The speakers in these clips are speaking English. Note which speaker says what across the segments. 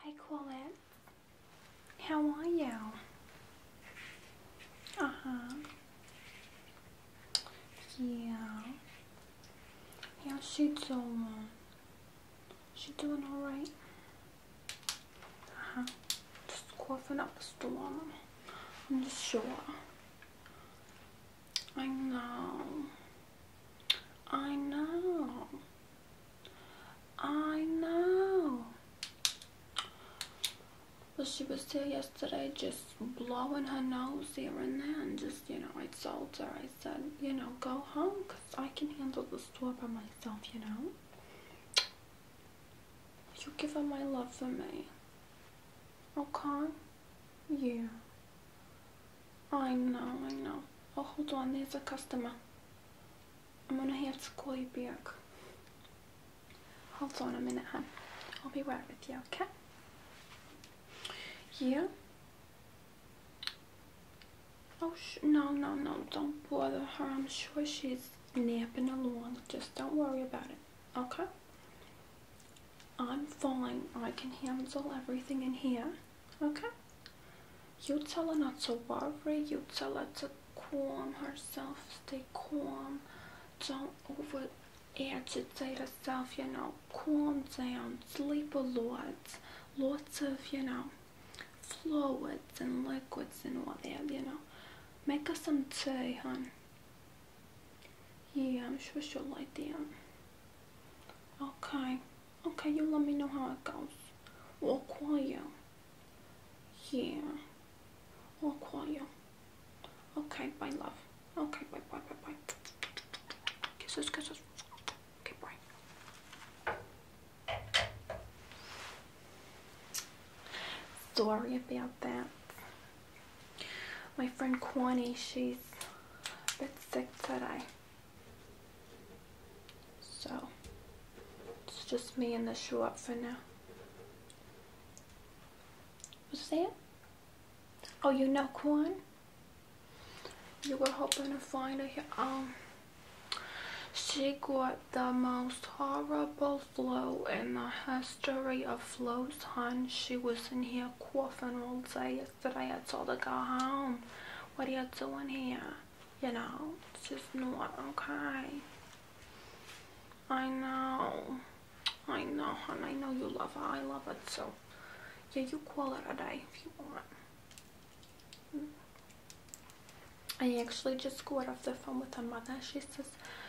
Speaker 1: Hi Colette. How are you? Uh-huh. Yeah. How's she doing? She's doing alright? Uh-huh. Just coughing up a storm. I'm sure. I know. I know. I know. But she was here yesterday just blowing her nose here and there and just, you know, I told her, I said, you know, go home because I can handle the store by myself, you know. You give her my love for me. Okay? Yeah. I know, I know. Oh, hold on, there's a customer. I'm gonna have to call you back. Hold on a minute, hon. I'll be right with you, okay? Yeah? Oh, no, no, no, don't bother her. I'm sure she's napping along. Just don't worry about it, okay? I'm fine. I can handle everything in here. Okay? Yutsela not so worried. Yutsela to calm herself, stay calm. Don't over agitate herself, you know. Calm down, sleep a lot. Lots of, you know, fluids and liquids and all that, you know. Make her some tea, hon. Yeah, I'm sure she'll like that. Okay. Okay, you let me know how it goes. I'll call you. Yeah. I'll call you. Okay, bye, love. Okay, bye, bye, bye, bye. Kisses, kisses. Okay, bye. Sorry about that. My friend Kwani, she's a bit sick today. So it's just me and the shoe up for now. What's that? Oh, you know Quan. You were hoping to find her. Um, she got the most horrible flu in the history of flus, hon. She was in here coughing all day yesterday. I told her go home. What are you doing here? you know, it's just not okay. I know. I know, and I know you love her. I love it, so yeah, you call it a day if you want. I actually just got off the phone with her mother. She says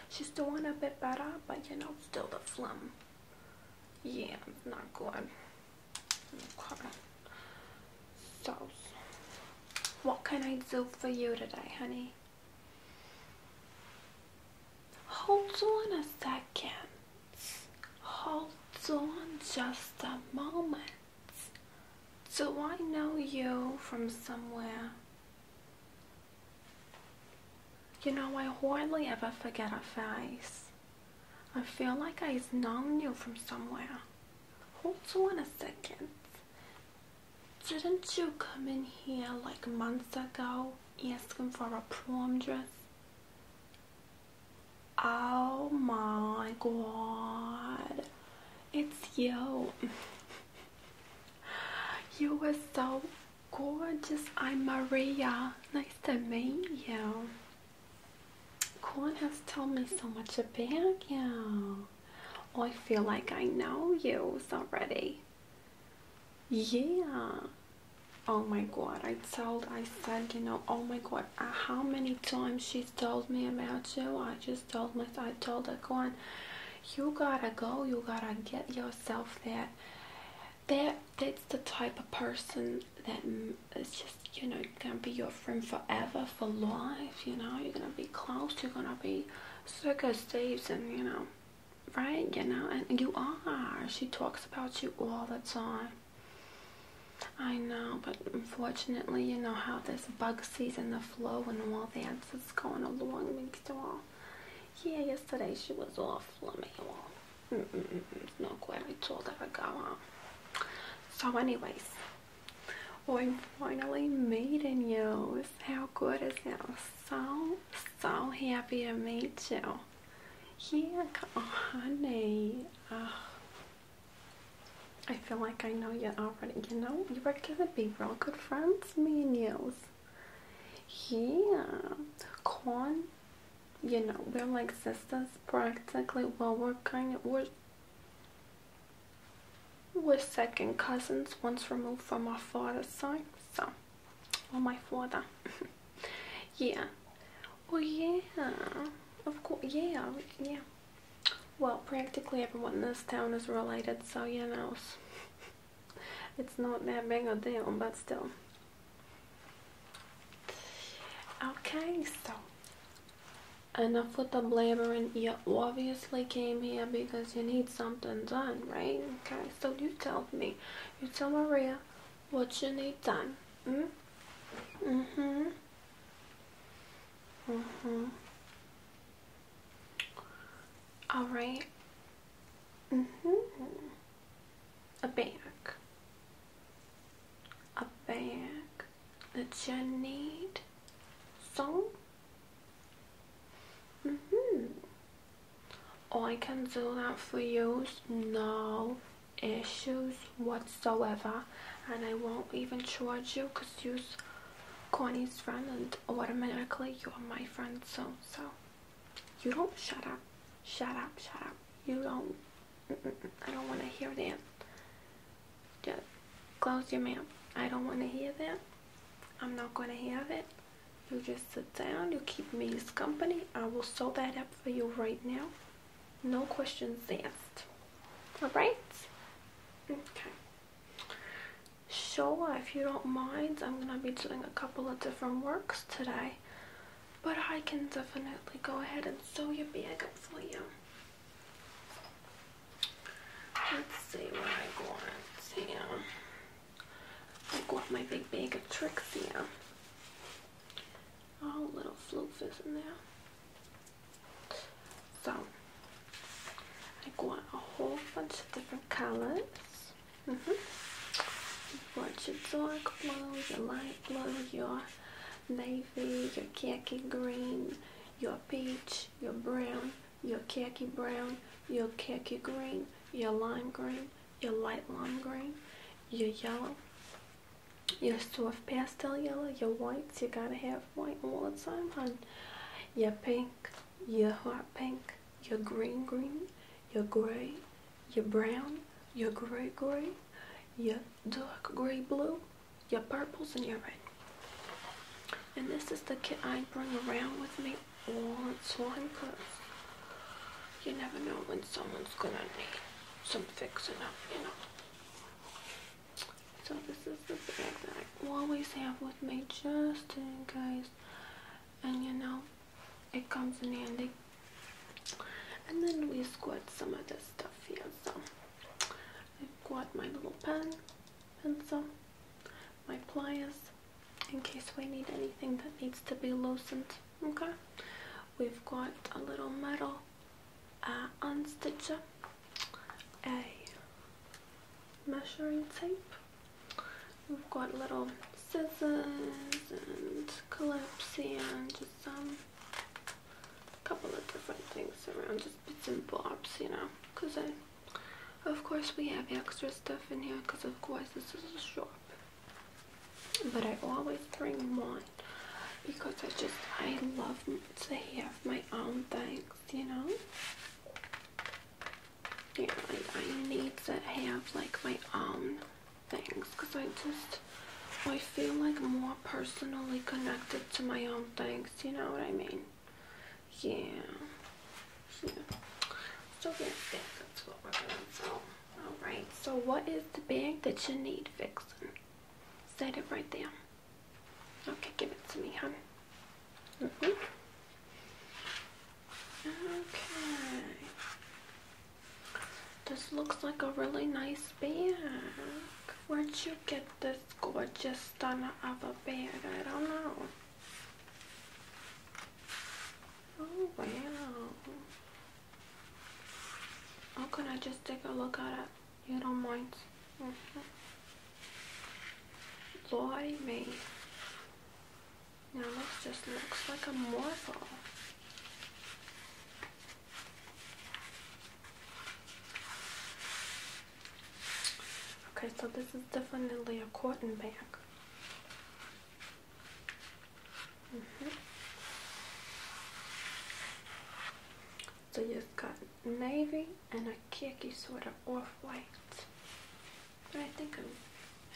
Speaker 1: she's doing a bit better, but you know, still the phlegm. Yeah, not good. So, what can I do for you today, honey? Hold on a second. Hold on just a moment. Do I know you from somewhere? You know, I hardly ever forget a face. I feel like I've known you from somewhere. Hold on a second. Didn't you come in here like months ago asking for a prom dress? Oh my god. It's you. you were so gorgeous. I'm Maria. Nice to meet you. Quan has told me so much about you. I feel like I know you already. Yeah. Oh my god, I told, I said, you know, oh my god, uh, how many times she's told me about you. I just told my, I told her, Quan, you gotta go, you gotta get yourself there. That, that's the type of person that it's just you know gonna be your friend forever for life you know you're gonna be close you're gonna be so good Steve's and you know right you know and you are she talks about you all the time I know but unfortunately you know how this bug season the flow and all that that's going along makes it all yeah yesterday she was all flummy all mm -mm -mm, no good I told her to go on so anyways we finally meeting you. How good is it? So, so happy to meet you. Yeah, oh, honey. Oh, I feel like I know you already. You know, you are gonna be real good friends, me and you. Yeah. Corn, you know, we're like sisters practically. Well, we're kind of, we're we're second cousins, once removed from my father's side, so, or my father. yeah. Oh yeah, of course, yeah, yeah. Well, practically everyone in this town is related, so you know, it's not that big a deal, but still. Okay, so Enough with the blabbering. You obviously came here because you need something done, right? Okay, so you tell me. You tell Maria what you need done. Mm? Mm-hmm. Mm-hmm. All right. Mm-hmm. A bag. A bag that you need. So, mm hmm oh, I can do that for you, no issues whatsoever, and I won't even charge you because you're Connie's friend, and automatically you are my friend So, So, you don't shut up, shut up, shut up. You don't. I don't want to hear that. Just close your mouth. I don't want to hear that. I'm not going to hear it. You just sit down. You keep me as company. I will sew that up for you right now. No questions asked. Alright? Okay. Sure, if you don't mind, I'm going to be doing a couple of different works today. But I can definitely go ahead and sew your bag up for you. Let's see what I got here. I got my big bag of tricks here. All oh, little floofers in there. So, I got a whole bunch of different colors. Mm -hmm. your dark blue, your light blue, your navy, your khaki green, your peach, your brown, your khaki brown, your khaki green, your lime green, your light lime green, your yellow, your soft pastel yellow, your whites, you gotta have white all the time, hon. Your pink, your hot pink, your green green, your gray, your brown, your gray gray, your dark gray blue, your purples and your red. And this is the kit I bring around with me all the time you never know when someone's going to need some fixing up, you know. So this is the bag that I always have with me just in case. And you know, it comes in handy. And then we squirt some of this stuff here. So I've got my little pen pencil, my pliers, in case we need anything that needs to be loosened, okay? We've got a little metal uh, unstitcher, a measuring tape, we've got little scissors and clips and just some um, couple of different things around bits and bobs, you know, because I, of course we have extra stuff in here because of course this is a shop. But I always bring one because I just, I love to have my own things, you know. Yeah, I need to have like my own things because I just, I feel like more personally connected to my own things, you know what I mean? Yeah. So Alright, so what is the bag that you need fixing? Set it right there. Okay, give it to me, hon. Mm-hmm. Okay. This looks like a really nice bag. Where'd you get this gorgeous stunner of a bag. I don't know. Oh, wow. How could I just take a look at it? You don't mind. Mm -hmm. Lordy me. Now this just looks like a morpho. Okay, so this is definitely a cotton bag. Mm-hmm. So you've got navy and a khaki sort of off-white. But I think I'm,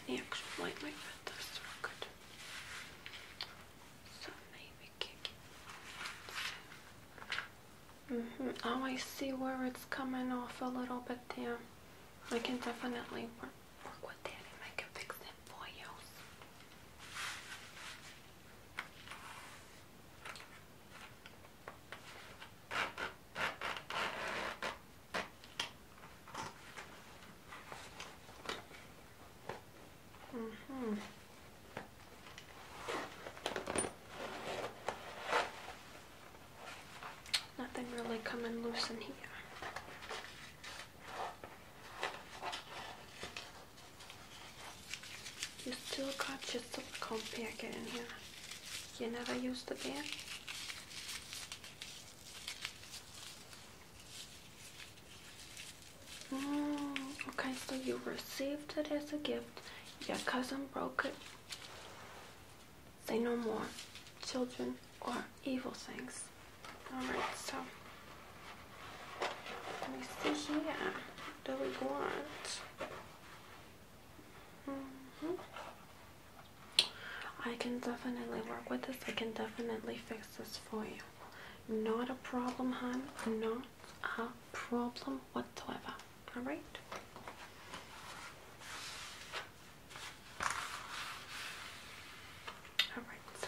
Speaker 1: any actual white like that does look good. So navy khaki. Mm-hmm. Oh, I see where it's coming off a little bit there. I can definitely work, with that and I can fix it for you. Mm hmm Nothing really coming loose in here. You still got your silicone packet in here. You never used the band? Mm, okay, so you received it as a gift. Your cousin broke it Say no more, children or evil things. Alright, so let me see here. What do we want? -hmm. I can definitely work with this. I can definitely fix this for you. Not a problem, hon. Not a problem whatsoever. Alright? Alright, so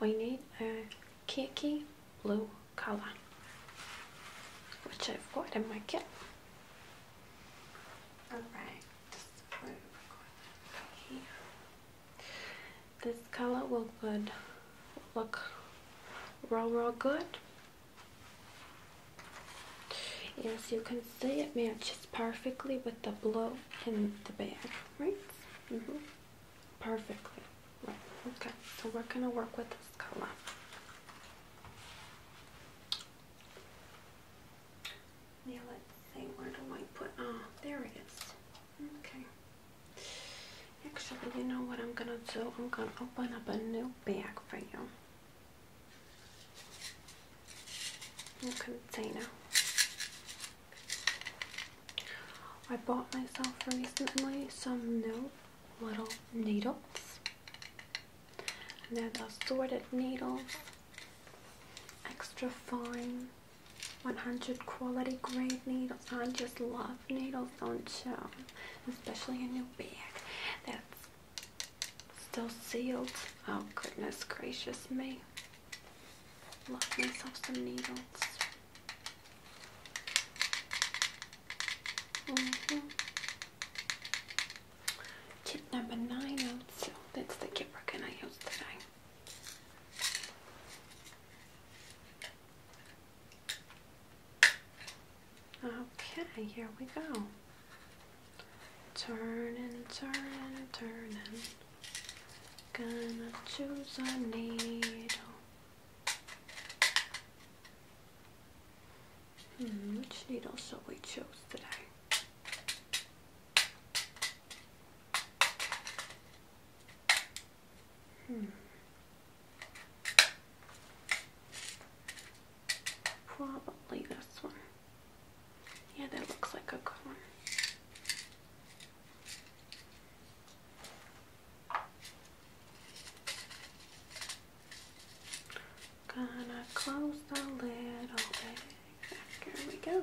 Speaker 1: we need a Kiki blue color, which I've got in my kit. Alright, this color will good look real real good Yes, you can see it matches perfectly with the blue in the bag, right? -hmm. Perfectly. Right. Okay, so we're going to work with this color. Now let's see, where do I put, oh, there it is. Okay. Actually, you know what I'm gonna do? I'm gonna open up a new bag for you. container. I bought myself recently some new little needles. And they're the assorted needles. Extra fine. 100 quality grade needles. I just love love needles on show, especially in your bag that's still sealed. Oh goodness gracious me! Love myself some needles. Mm number nine also. That's the kit we're gonna use today. Okay, here we go. Turning, turning, turning. Gonna choose a needle. Hmm, which needle shall we choose today? Hmm. Probably this one. Yeah, that looks like a good one. Gonna close the lid all Here we go.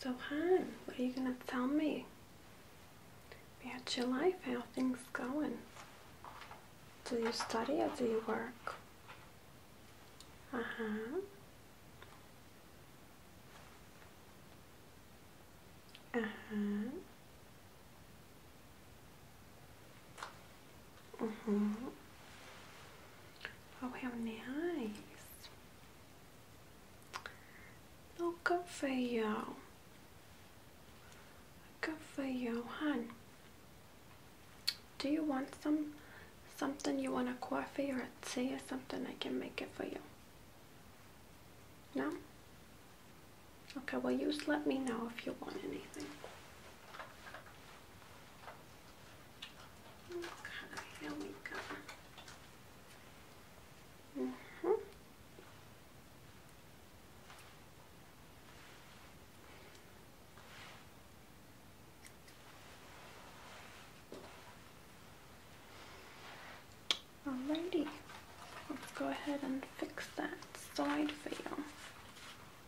Speaker 1: So, Han, what are you going to tell me about your life? How things going? Do you study or do you work? Uh huh. Uh huh. Mm -hmm. Oh, how nice. No, oh, good for you. Good for you, hon. Do you want some, something? You want a coffee or a tea or something? I can make it for you. No? Okay, well, just let me know if you want anything. Okay, here we go. Mm -hmm. Alrighty, let's go ahead and fix that side for you.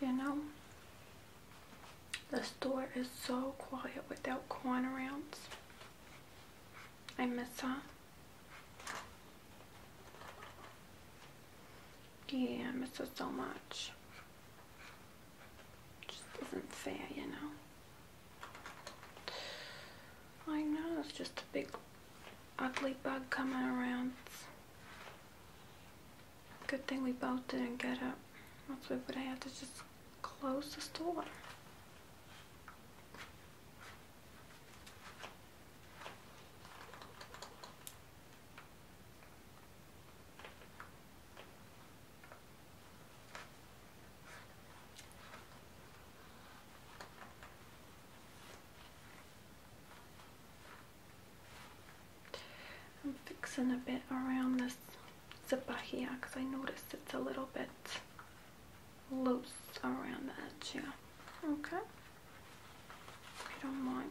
Speaker 1: You know, the store is so quiet without corn arounds. I miss her. Yeah, I miss her so much. just isn't fair, you know. I know, it's just a big ugly bug coming around. Good thing we both didn't get up. Else we would have had to just close the door. I'm fixing a bit around this zipper here because I noticed it's a little bit loose around the edge Okay. I don't mind.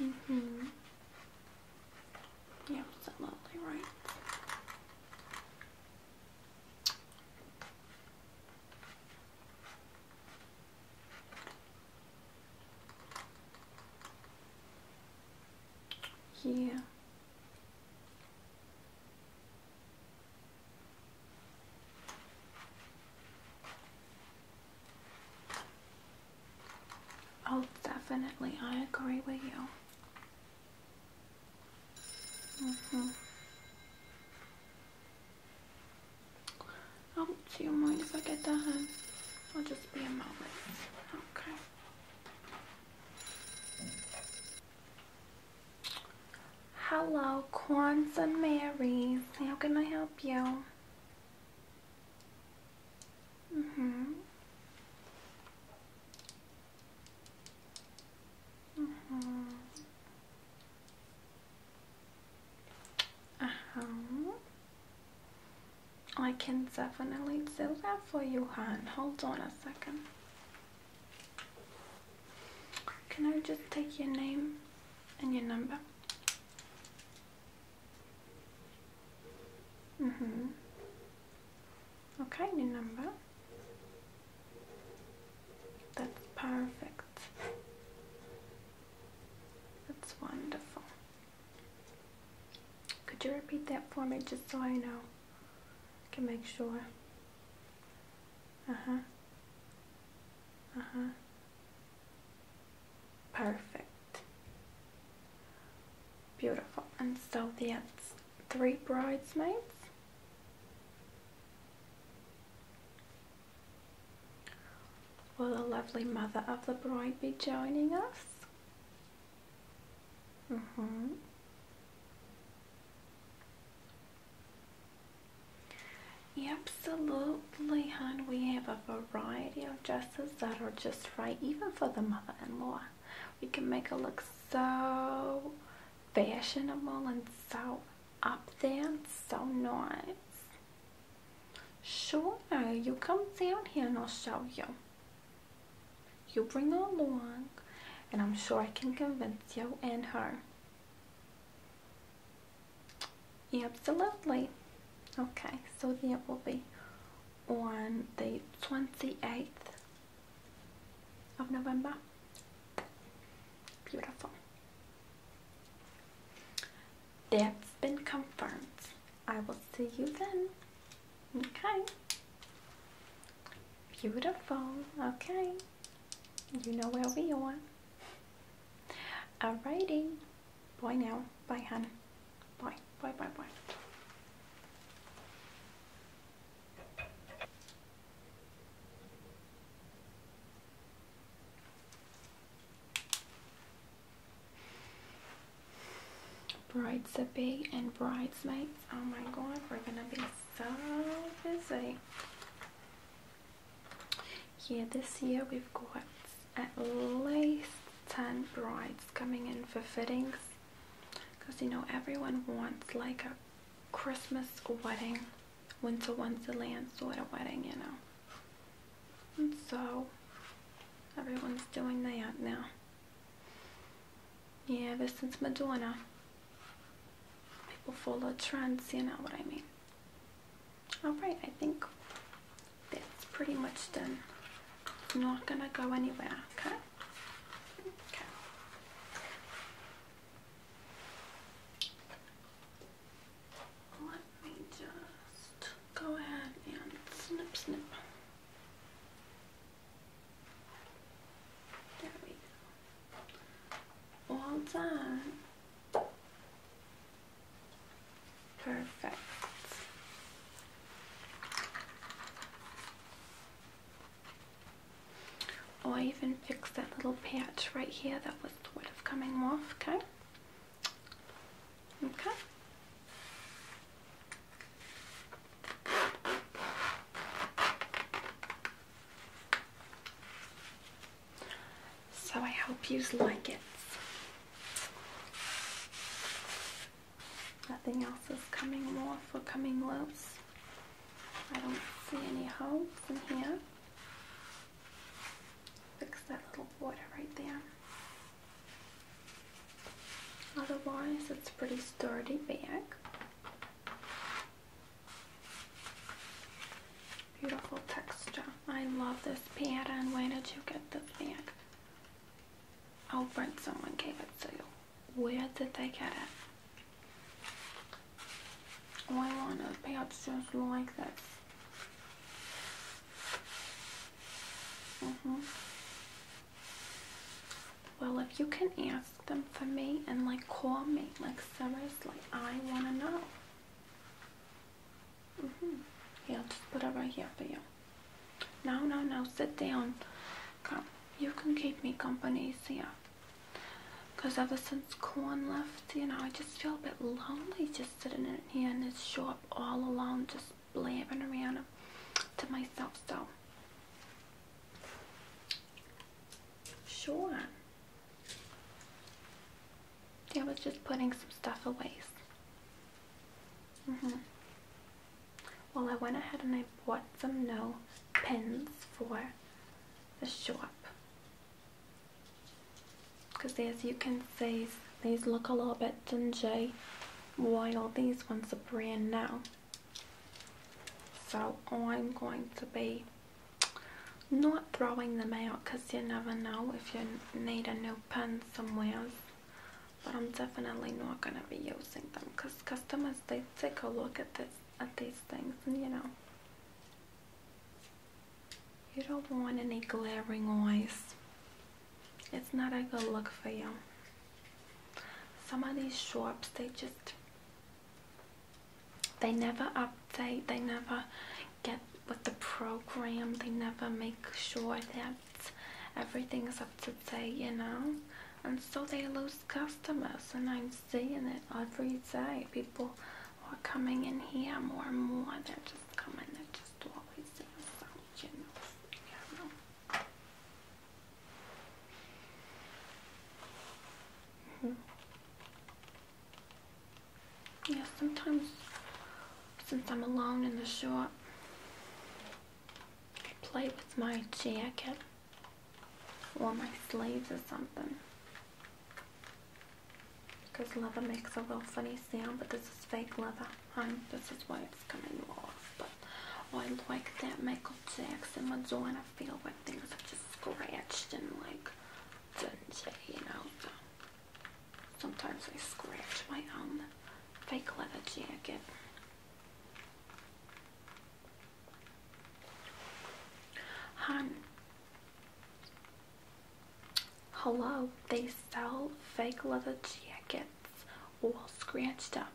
Speaker 1: Mm hmm Yeah, so right? Yeah. Oh, definitely. I agree with you. Mm hmm Oh, see you mind if I get done. in? I'll just be a moment. Okay. Hello, Kwanzaa Marys. How can I help you? Mm-hmm. Mm-hmm. Uh-huh. I can definitely do that for you, hon. Hold on a second. Can I just take your name and your number? Mm-hmm. Okay, your number. That's perfect. That's wonderful. Could you repeat that for me just so I know? can make sure. Uh-huh. Uh-huh. Perfect. Beautiful. And so that's three bridesmaids. Will the lovely mother of the bride be joining us? Mm-hmm. Absolutely, hon. We have a variety of dresses that are just right, even for the mother-in-law. We can make her look so fashionable and so up there and so nice. Sure, you come down here and I'll show you. You bring her along and I'm sure I can convince you and her. Absolutely. Okay, so that will be on the 28th of November. Beautiful. That's been confirmed. I will see you then. Okay. Beautiful. Okay. You know where we are. Alrighty. Bye now. Bye, honey. Bye. Bye, bye, bye. Bride's a bee and bridesmaids. Oh my god, we're gonna be so busy. Yeah, this year we've got at least 10 brides coming in for fittings because you know everyone wants like a Christmas wedding, winter wonderland sort of wedding, you know. And so everyone's doing that now. Yeah, ever since Madonna people follow trends, you know what I mean. Alright, I think that's pretty much done. I'm not gonna go anywhere, okay? Okay. Let me just go ahead and snip snip. There we go all done perfect Oh, I even fixed that little patch right here that was sort of coming off okay okay so I hope you like it. Nothing else is coming off or coming loose. I don't see any holes in here. Fix that little water right there. Otherwise, it's pretty sturdy bag. Beautiful texture. I love this And Where did you get this bag? Oh, but someone gave it to you. Where did they get it? Oh, I want a patch just like this. hmm Well, if you can ask them for me and like call me. Like Like I want to know. Mm-hmm. Yeah, I'll just put it right here for you. No, no, no, sit down. Come, you can keep me company here. Because ever since Corn left, you know, I just feel a bit lonely just sitting in here in this shop all alone, just blabbing around to myself. So, sure. I was just putting some stuff away. Mm-hmm. Well, I went ahead and I bought some new pins for the shop. Because as you can see, these look a little bit dingy while these ones are brand new. So I'm going to be not throwing them out because you never know if you need a new pen somewhere. But I'm definitely not going to be using them because customers, they take a look at this at these things and you know. You don't want any glaring eyes. It's not a good look for you. Some of these shops, they just they never update, they never get with the program, they never make sure that everything is up to date, you know? And so they lose customers, and I'm seeing it every day. People are coming in here more and more, they're just coming, they're just always doing so, you hmm. Yeah, sometimes since I'm alone in the shop, I play with my jacket or my sleeves or something. Because leather makes a real funny sound, but this is fake leather. Um, this is why it's coming off. But I like that Michael Jackson one's on. I feel when things are just scratched and like doesn't you know. Sometimes I scratch my own fake leather jacket. Hun. Hello, they sell fake leather jackets all scratched up.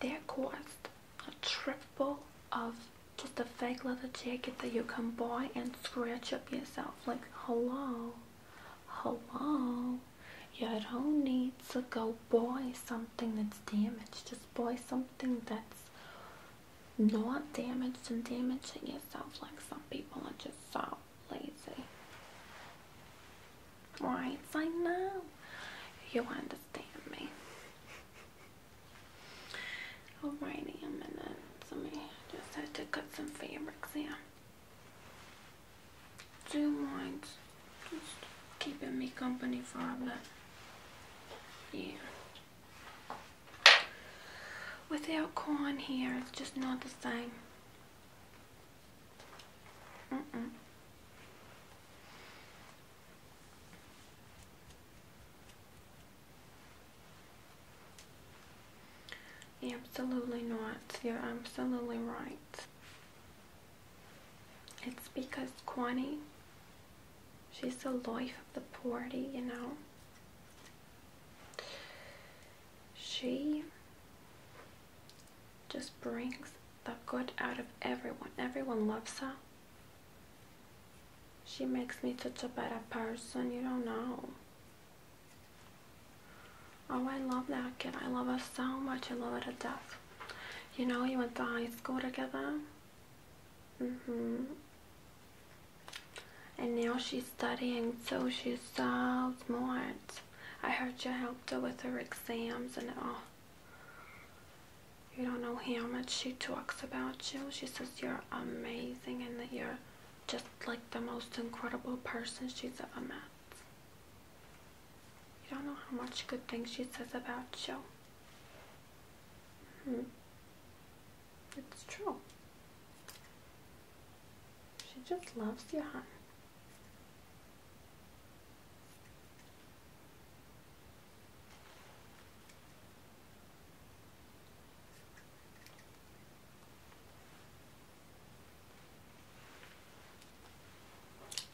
Speaker 1: They cost a trip full of just a fake leather jacket that you can buy and scratch up yourself. Like, hello, hello. You don't need to go buy something that's damaged. Just buy something that's not damaged and damaging yourself like some people are just so lazy. Right, I know. You understand stand me. Alrighty, a minute. Somebody just had to cut some fabrics here. Two minds, Just keeping me company for a bit. Yeah. Without corn here, it's just not the same. Mm-mm. Absolutely not. You're absolutely right. It's because Kwani, she's the life of the party, you know. She just brings the good out of everyone. Everyone loves her. She makes me such a better person, you don't know. Oh, I love that kid. I love her so much. I love her to death. You know, you went to high school together. hmm And now she's studying, so she's so smart. I heard you helped her with her exams and all. Oh. You don't know how much she talks about you. She says you're amazing and that you're just like the most incredible person she's ever met. You don't know how much good things she says about you. Hmm. It's true. She just loves you, honey.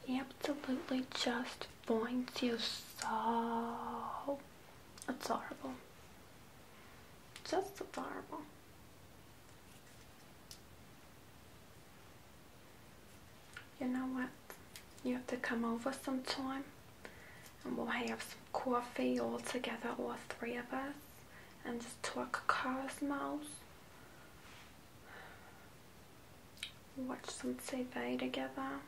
Speaker 1: Absolutely just points you so horrible. Just adorable. You know what? You have to come over sometime and we'll have some coffee all together, all three of us, and just talk cosmos. Watch some TV together.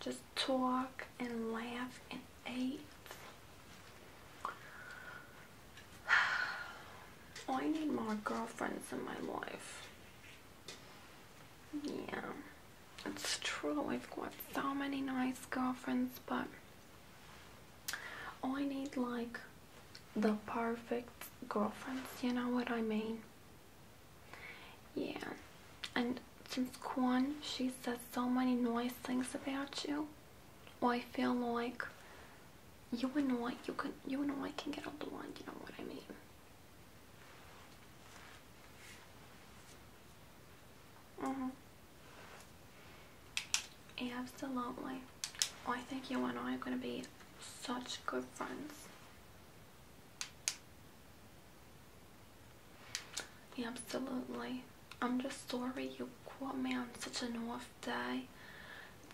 Speaker 1: Just talk and laugh and eat. I need more girlfriends in my life. Yeah, it's true. I've got so many nice girlfriends, but I need like the perfect girlfriends, you know what I mean? Yeah, and since Kwan, she said so many nice things about you, I feel like you and I, you can, you and I can get along, you know what I mean? Mm-hmm. absolutely. I think you and I are going to be such good friends. absolutely. I'm just sorry you caught me on such an off day.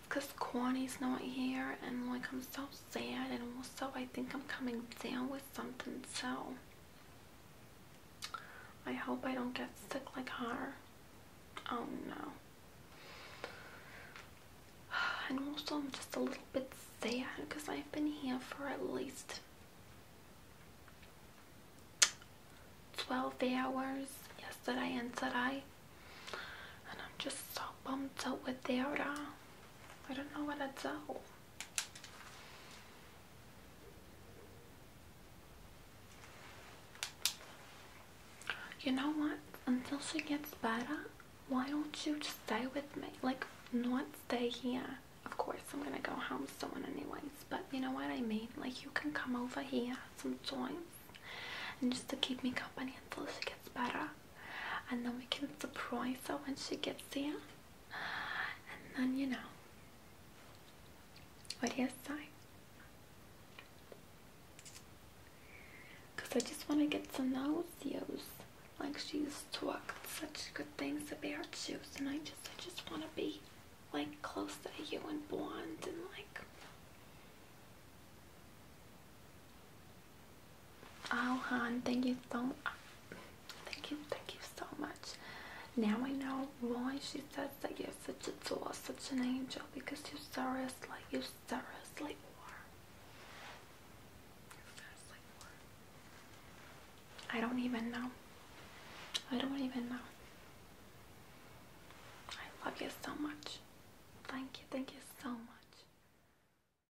Speaker 1: because Corny's not here and like I'm so sad and also I think I'm coming down with something so I hope I don't get sick like her. Oh no. And also I'm just a little bit sad because I've been here for at least 12 hours yesterday and today and I'm just so bummed out without her. I don't know what to do. You know what? Until she gets better, why don't you just stay with me? Like, not stay here. Of course, I'm gonna go home soon anyways, but you know what I mean? Like, you can come over here sometimes and just to keep me company until she gets better and then we can surprise her when she gets there. And then you know. What do you say? Cause I just wanna get to know Zeus. Like she's talked such good things about Zeus and I just I just wanna be like close to you and blonde and like Oh, hon, thank you so much. Thank you, thank you so much. Now I know why she says that you're such a doll, such an angel, because you like you seriously are. You seriously are. I don't even know. I don't even know. I love you so much. Thank you, thank you so much.